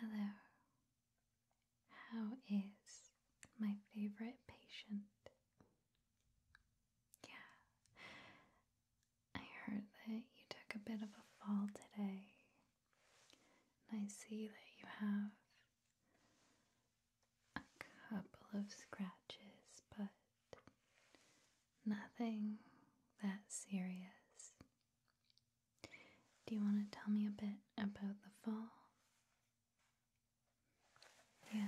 Hello. How is my favorite patient? Yeah. I heard that you took a bit of a fall today. I see that you have a couple of scratches, but Nothing that serious. Do you want to tell me a bit about the fall? Yeah.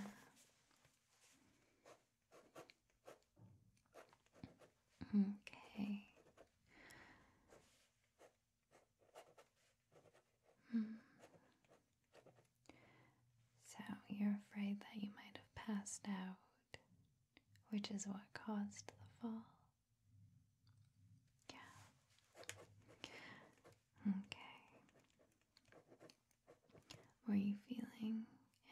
Okay. Hmm. So, you're afraid that you might have passed out which is what caused the fall. Yeah. Okay. Were you feeling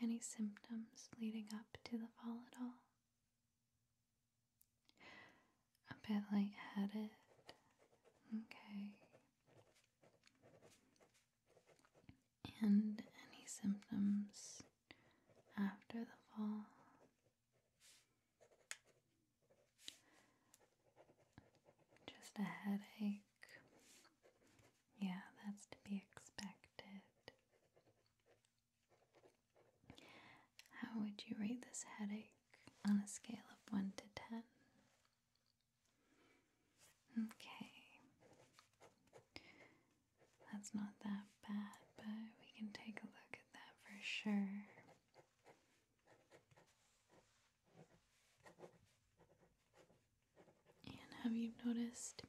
any symptoms leading up to the fall at all? A bit lightheaded. Okay and any symptoms after the fall. Just a headache. Yeah, that's to be expected. How would you rate this headache on a scale of 1 to 10? Okay. That's not that bad, but we can take a look at that for sure. And have you noticed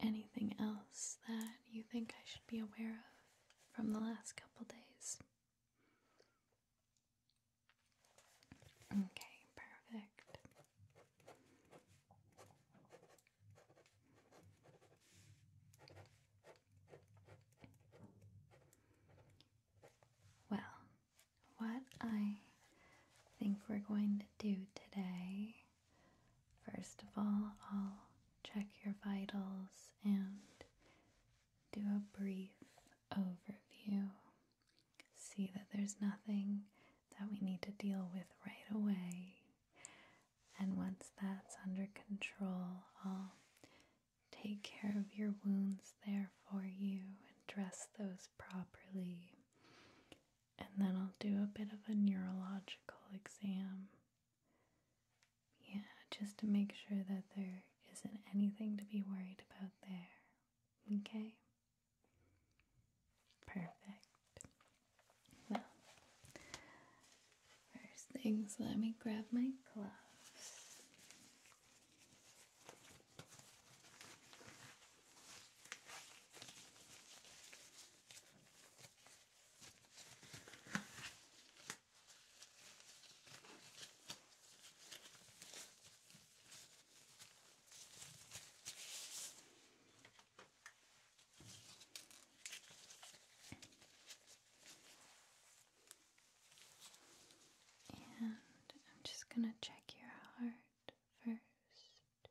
anything else that you think I should be aware of from the last couple days? Okay, perfect. Well, what I think we're going to do today, first of all, I'll check your vitals and do a brief overview. See that there's nothing that we need to deal with right away. And once that's under control, I'll take care of your wounds there for you and dress those properly. And then I'll do a bit of a neurological exam. Yeah, just to make sure that there isn't anything to be worried about there. Okay? Perfect. Well, first things, let me grab my gloves. And I'm just going to check your heart first.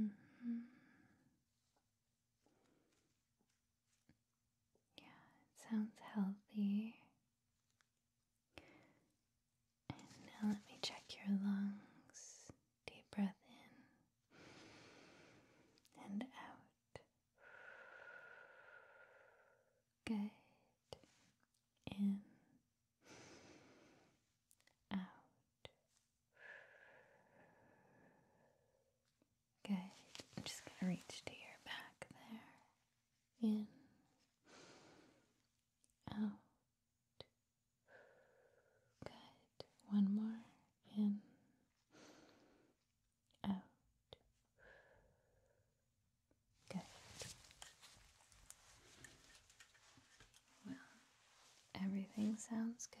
Mm-hmm. Yeah, it sounds healthy. And now let me check your lungs. Deep breath in and out. Good. In. Out. Good. I'm just going to reach to your back there. In. Out. Good. One more. In. Out. Good. Well, everything sounds good.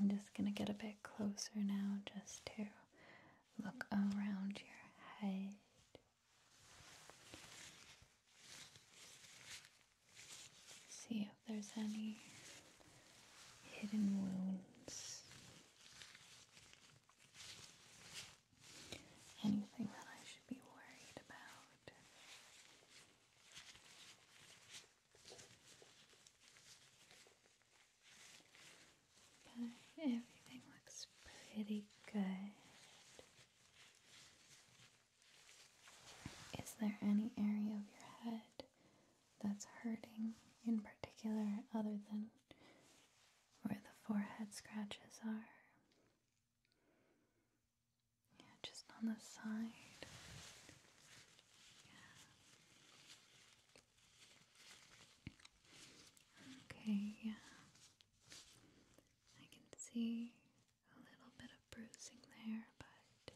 I'm just going to get a bit closer now just to look around your head. See if there's any hidden wounds. Anything that I should be worried about. everything looks pretty good. Is there any area of your head that's hurting in particular, other than where the forehead scratches are? Yeah, just on the side. Okay, yeah. I can see a little bit of bruising there, but it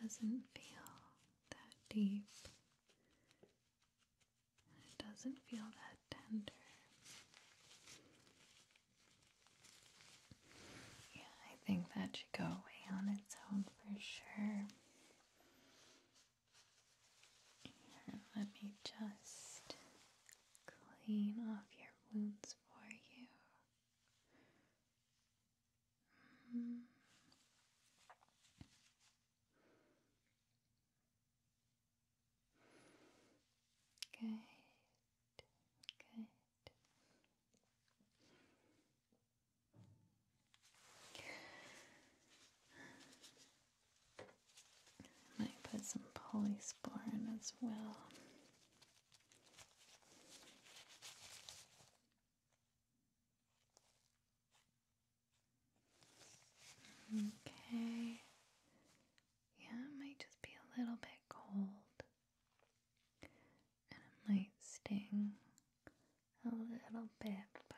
doesn't feel that deep. It doesn't feel that tender. Yeah, I think that should go away on its own for sure let me just clean off your wounds for you. Good, good. I might put some polysporin as well. Okay. Yeah, it might just be a little bit cold. And it might sting a little bit, but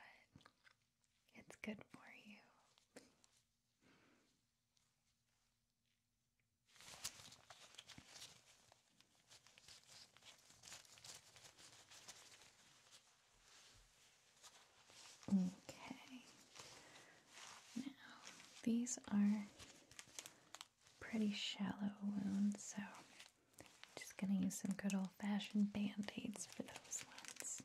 it's good for you. Okay. Now, these are pretty shallow wounds, so I'm just going to use some good old fashioned band aids for those ones.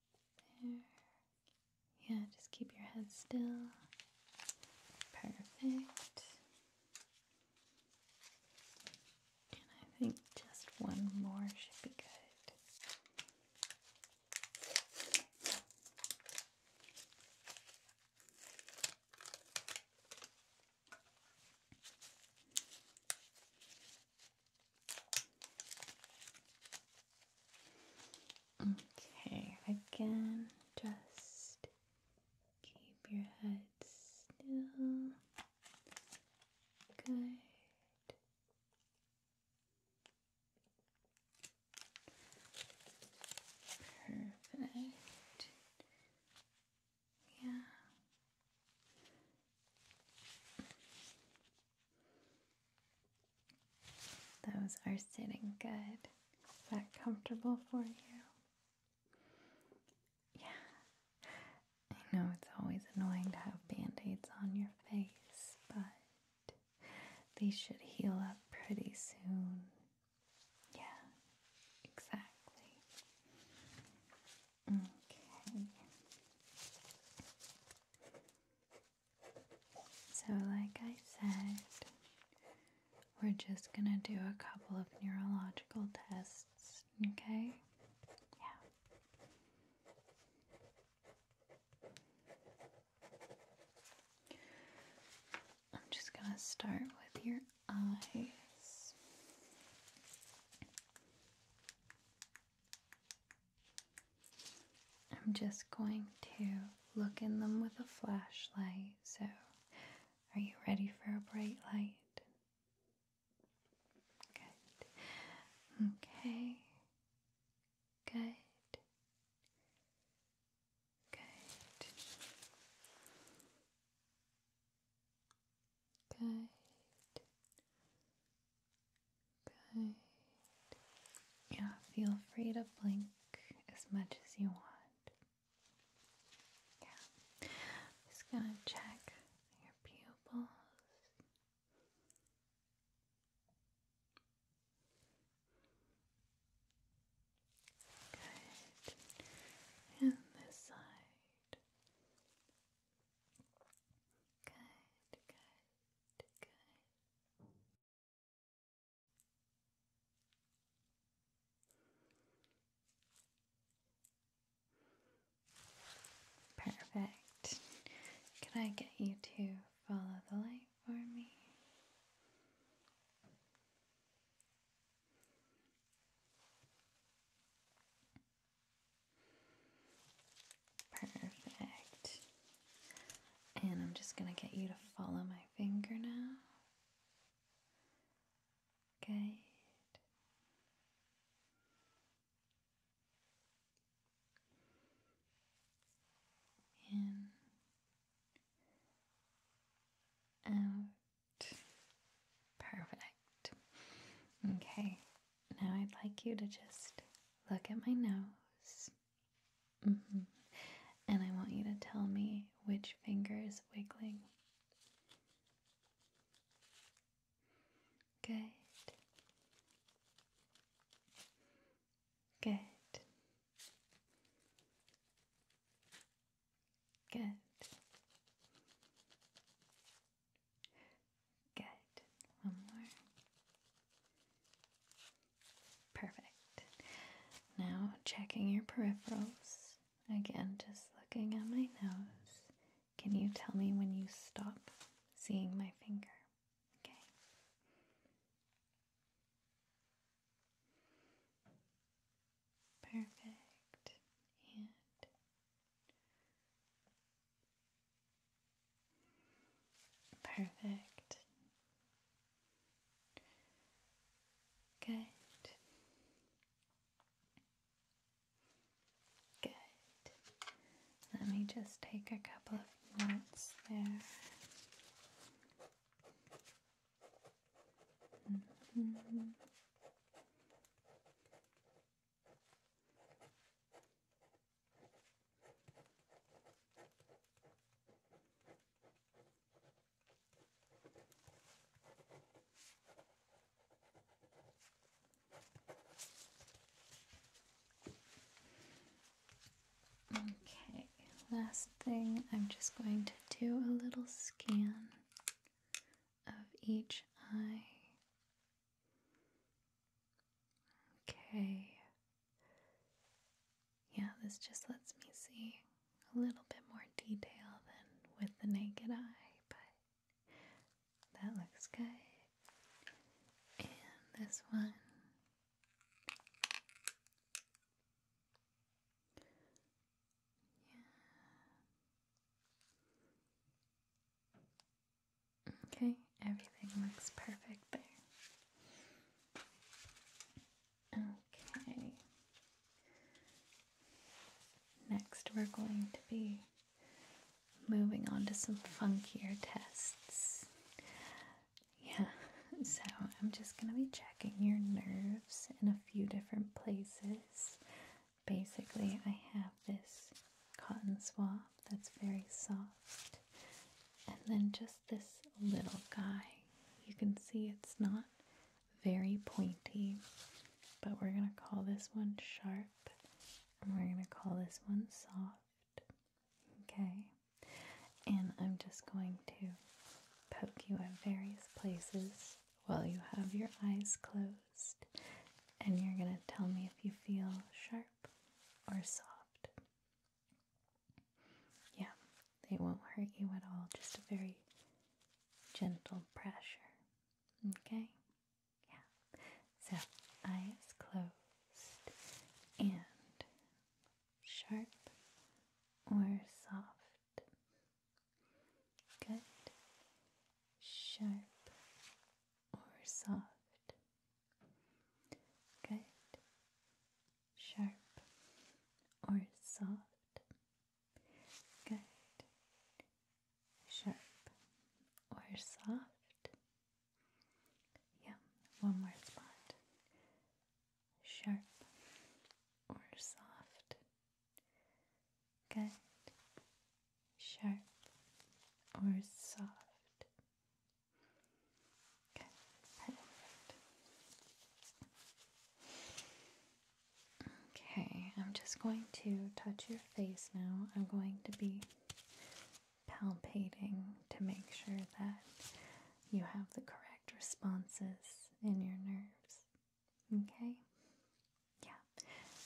yeah, just keep your head still. Perfect. And I think just one more should be good. Okay, again, just keep your head still. Good. Perfect. Yeah. Those are sitting good. Is that comfortable for you? Yeah. I know it's always annoying to have band aids on your face, but these should heal up pretty soon. Yeah, exactly. Okay. So, like I said, we're just gonna do a couple of neurological tests, okay? Yeah. I'm just gonna start with your eyes. I'm just going to look in them with a flashlight. So, are you ready for a bright light? Good. Okay. Good. Good. Good. Yeah, feel free to blink as much as you want. Yeah. just gonna check your pupils. Good. And this side. Good, good. Perfect. Can I get you to follow the light for me? Perfect. And I'm just going to get you to follow my finger now. Good. In. Out. Perfect. Okay. Now I'd like you to just look at my nose. Mm-hmm. And I want you to tell me which finger is wiggling. Good. Good. Good. Good. One more. Perfect. Now checking your peripherals. Again, just looking at my nose. Can you tell me when you stop seeing my finger? Okay. Perfect. And Perfect. Good. Good. Let me just take a couple of notes there. Mm-hmm. Okay, last thing, I'm just going to do a little scan of each eye Okay. Yeah, this just lets me see a little bit more detail than with the naked eye, but that looks good. And this one. Yeah. Okay, everything looks perfect there. Okay. Next, we're going to be moving on to some funkier tests. Yeah, so I'm just going to be checking your nerves in a few different places. Basically, I have this cotton swab that's very soft and then just this little guy. You can see it's not very pointy, but we're going to call this one sharp and we're going to call this one soft. Okay, and I'm just going to poke you at various places while you have your eyes closed, and you're going to tell me if you feel sharp or soft. Yeah, they won't hurt you at all, just a very gentle pressure. Okay? Yeah. So, eyes closed and sharp or soft. Good. Sharp or soft. Good. Sharp or soft. Good. Sharp or soft. Yeah, one more spot. Sharp or soft. Good. Sharp or soft. Okay, Okay, I'm just going to touch your face now. I'm going to be palpating to make sure that you have the correct responses in your nerves. Okay? Yeah.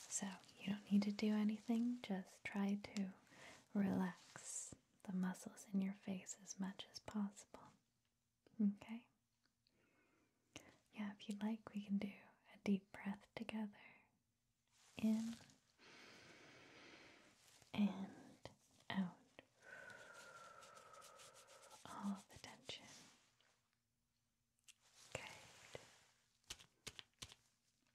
So you don't need to do anything, just try to relax the muscles in your face as much as possible. Okay? Yeah, if you'd like, we can do a deep breath together. In and out. All the tension. Good.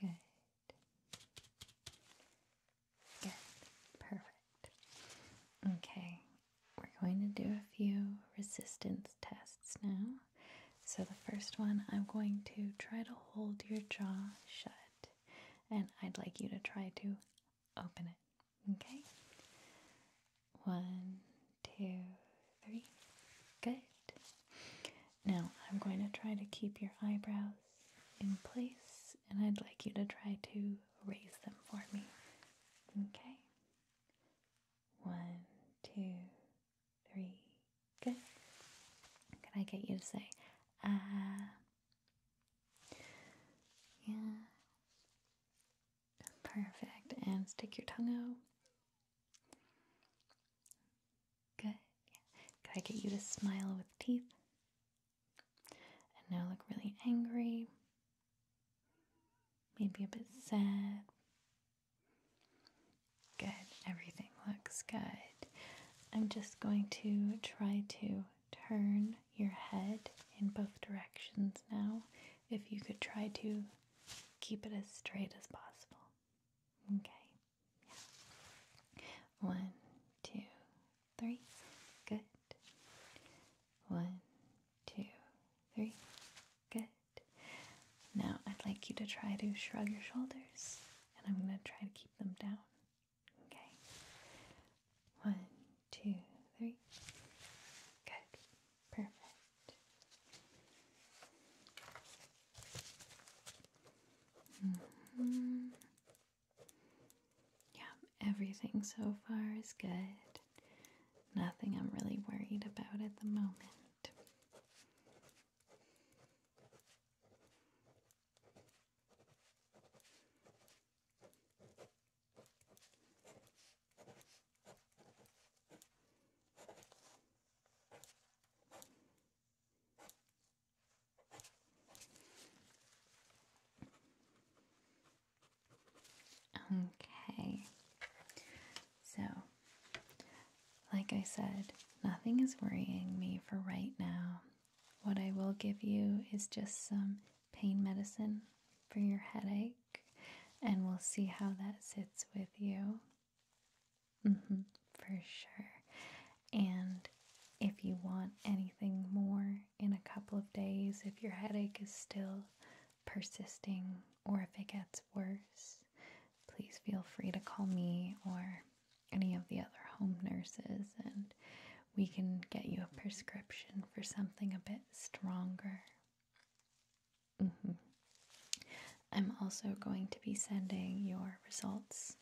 Good. Good. Perfect. Okay, we're going to do a few resistance tests now. So, the first one, I'm going to try to hold your jaw shut, and I'd like you to try to open it. Okay? One, two, three. Good. Now I'm going to try to keep your eyebrows in place and I'd like you to try to raise them for me. Okay? One, two, three. Good. Can I get you to say, ah? yeah. Perfect. And stick your tongue out. Good. Yeah. I get you to smile with teeth? And now look really angry. Maybe a bit sad. Good. Everything looks good. I'm just going to try to turn your head in both directions now. If you could try to keep it as straight as possible. Okay. One, two, three. Good. One, two, three. Good. Now I'd like you to try to shrug your shoulders, and I'm going to try to keep them down. Okay. One, two, three. Good. Perfect. Mm-hmm. Yeah, everything so far is good. Nothing I'm really worried about at the moment. Okay. So, like I said, nothing is worrying me for right now. What I will give you is just some pain medicine for your headache, and we'll see how that sits with you. Mm-hmm, for sure. And if you want anything more in a couple of days, if your headache is still persisting or if it gets worse, please feel free to call me or any of the other home nurses and we can get you a prescription for something a bit stronger. Mm -hmm. I'm also going to be sending your results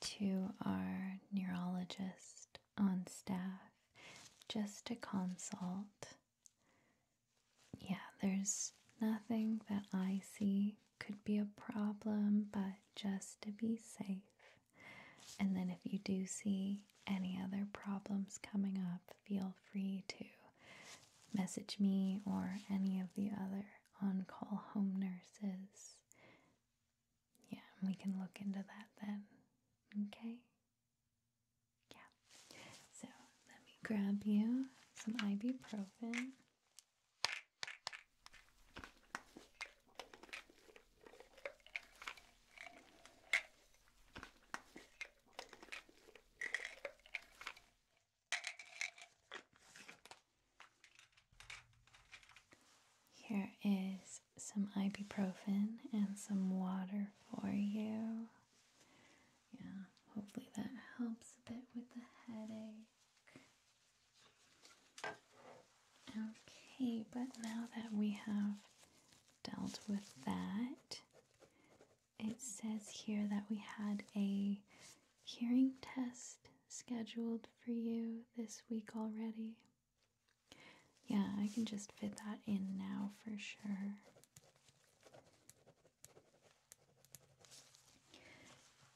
to our neurologist on staff just to consult. Yeah, there's nothing that I see could be a problem, but just to be safe. And then if you do see any other problems coming up, feel free to message me or any of the other on call home nurses. Yeah, we can look into that then. Okay? Yeah. So let me grab you some ibuprofen. Here is some ibuprofen and some water for you. Yeah, hopefully that helps a bit with the headache. Okay, but now that we have dealt with that, it says here that we had a hearing test scheduled for you this week already. Yeah, I can just fit that in now for sure.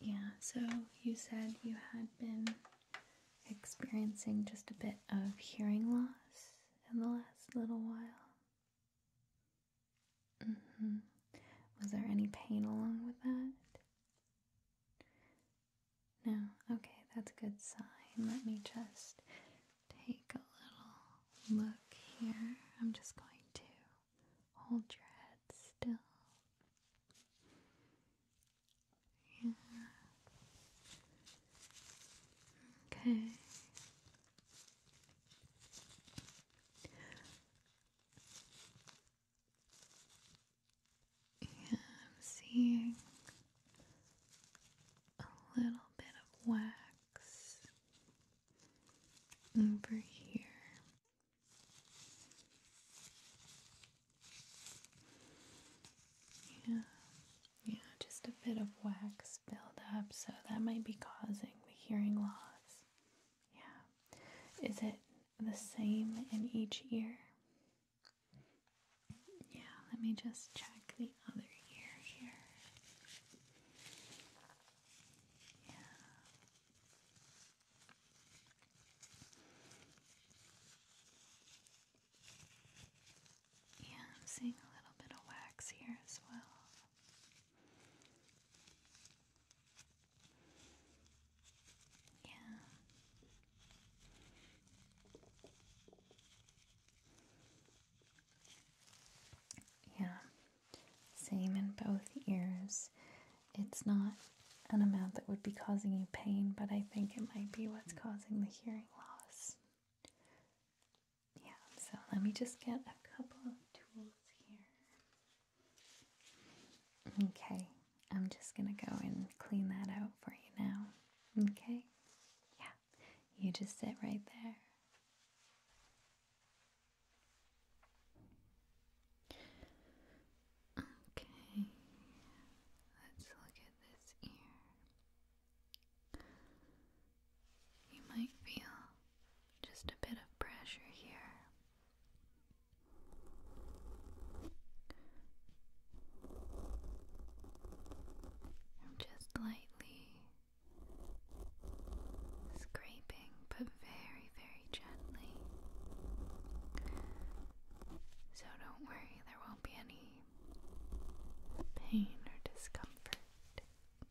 Yeah, so you said you had been experiencing just a bit of hearing loss in the last little while. Mm-hmm. Was there any pain along with that? No. Okay, that's a good sign. Let me just take a little look here. I'm just going to hold your head still. Yeah. Okay. Yeah, I'm seeing a little bit of wax over here. Yeah, yeah, just a bit of wax buildup, so that might be causing the hearing loss. Yeah. Is it the same in each ear? Yeah, let me just check the other ear here. Yeah. Yeah, I'm seeing a little bit of wax here as well. Yeah. Yeah. Same in both ears. It's not an amount that would be causing you pain, but I think it might be what's causing the hearing loss. Yeah, so let me just get a couple of tools here. Okay, I'm just gonna go and clean that out for you now. Okay? Yeah, you just sit right there. Okay, let's look at this ear. You might feel just a bit of pressure here. I'm just lightly scraping, but very, very gently. So don't worry, there won't be any pain or discomfort.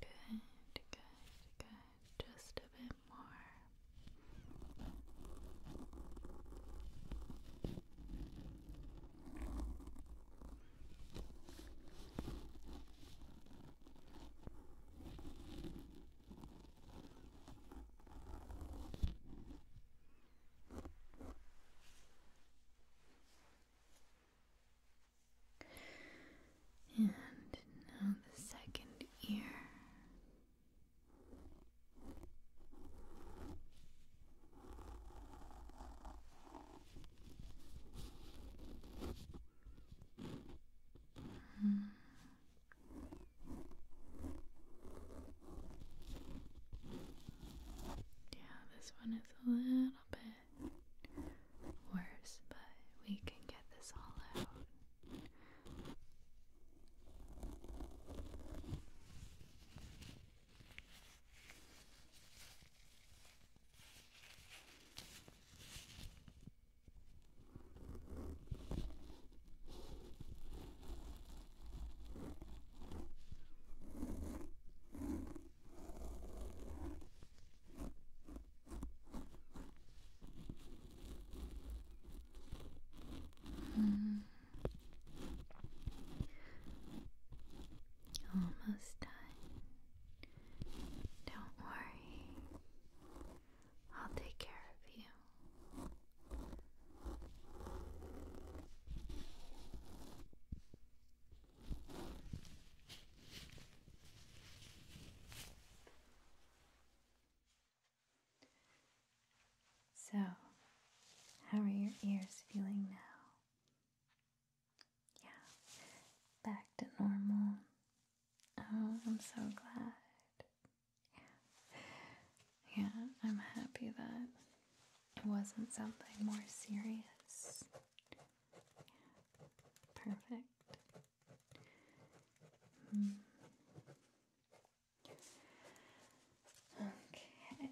Good, good, good. Just a bit more. And now the second ear. Hmm. Yeah, this one is a little bit worse, but we can get this all out. Mm. Almost done. Don't worry. I'll take care of you. So, how are your ears feeling now? Yeah, back to normal. Oh, I'm so glad. Yeah. Yeah, I'm happy that it wasn't something more serious. Perfect. Hmm. Okay.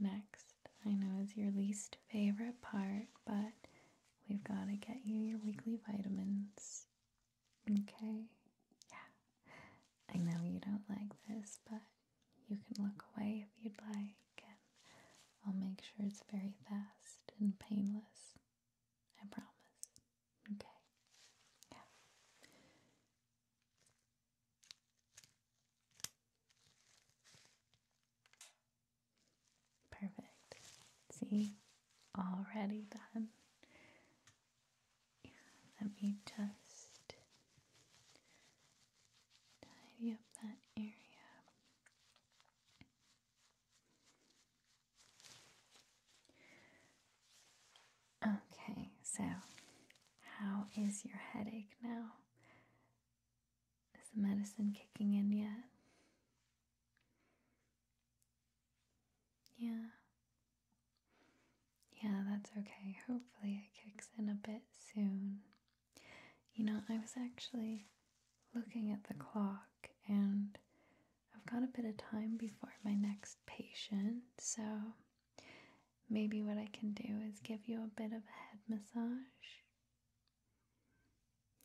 next, I know is your least favorite part, but we've got to get you your weekly vitamins. Okay? Yeah. I know you don't like this, but you can look away if you'd like, and I'll make sure it's very fast and painless. I promise. Okay? Yeah. Perfect. See? Already done let me just tidy up that area. Okay, so how is your headache now? Is the medicine kicking in yet? Yeah. Yeah, that's okay. Hopefully, it kicks in a bit soon. You know, I was actually looking at the clock and I've got a bit of time before my next patient, so maybe what I can do is give you a bit of a head massage.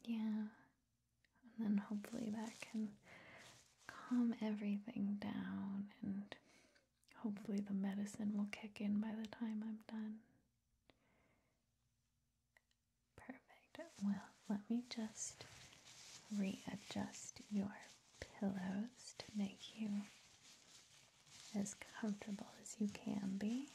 Yeah, and then hopefully that can calm everything down, and hopefully, the medicine will kick in by the time I'm done. Perfect. Well, let me just readjust your pillows to make you as comfortable as you can be.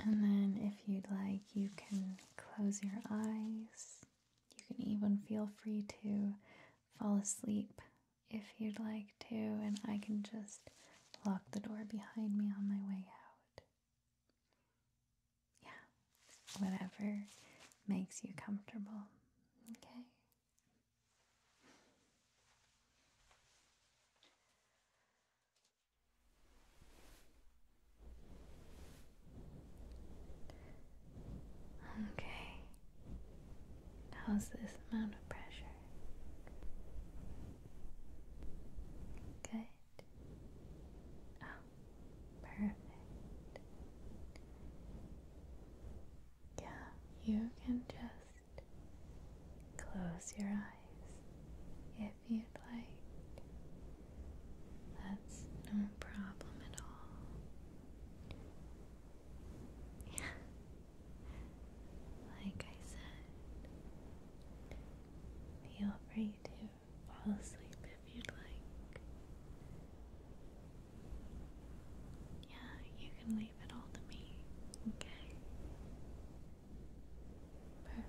And then, if you'd like, you can close your eyes. You can even feel free to fall asleep if you'd like to, and I can just lock the door behind me on my way out. Yeah, whatever makes you comfortable. Okay. Okay, how's this amount of pressure? Good. Oh, perfect. Yeah, you can just close your eyes if you'd like. That's no problem at all. Yeah. Like I said, feel free to fall asleep if you'd like. Yeah, you can leave it all to me, okay? Perfect.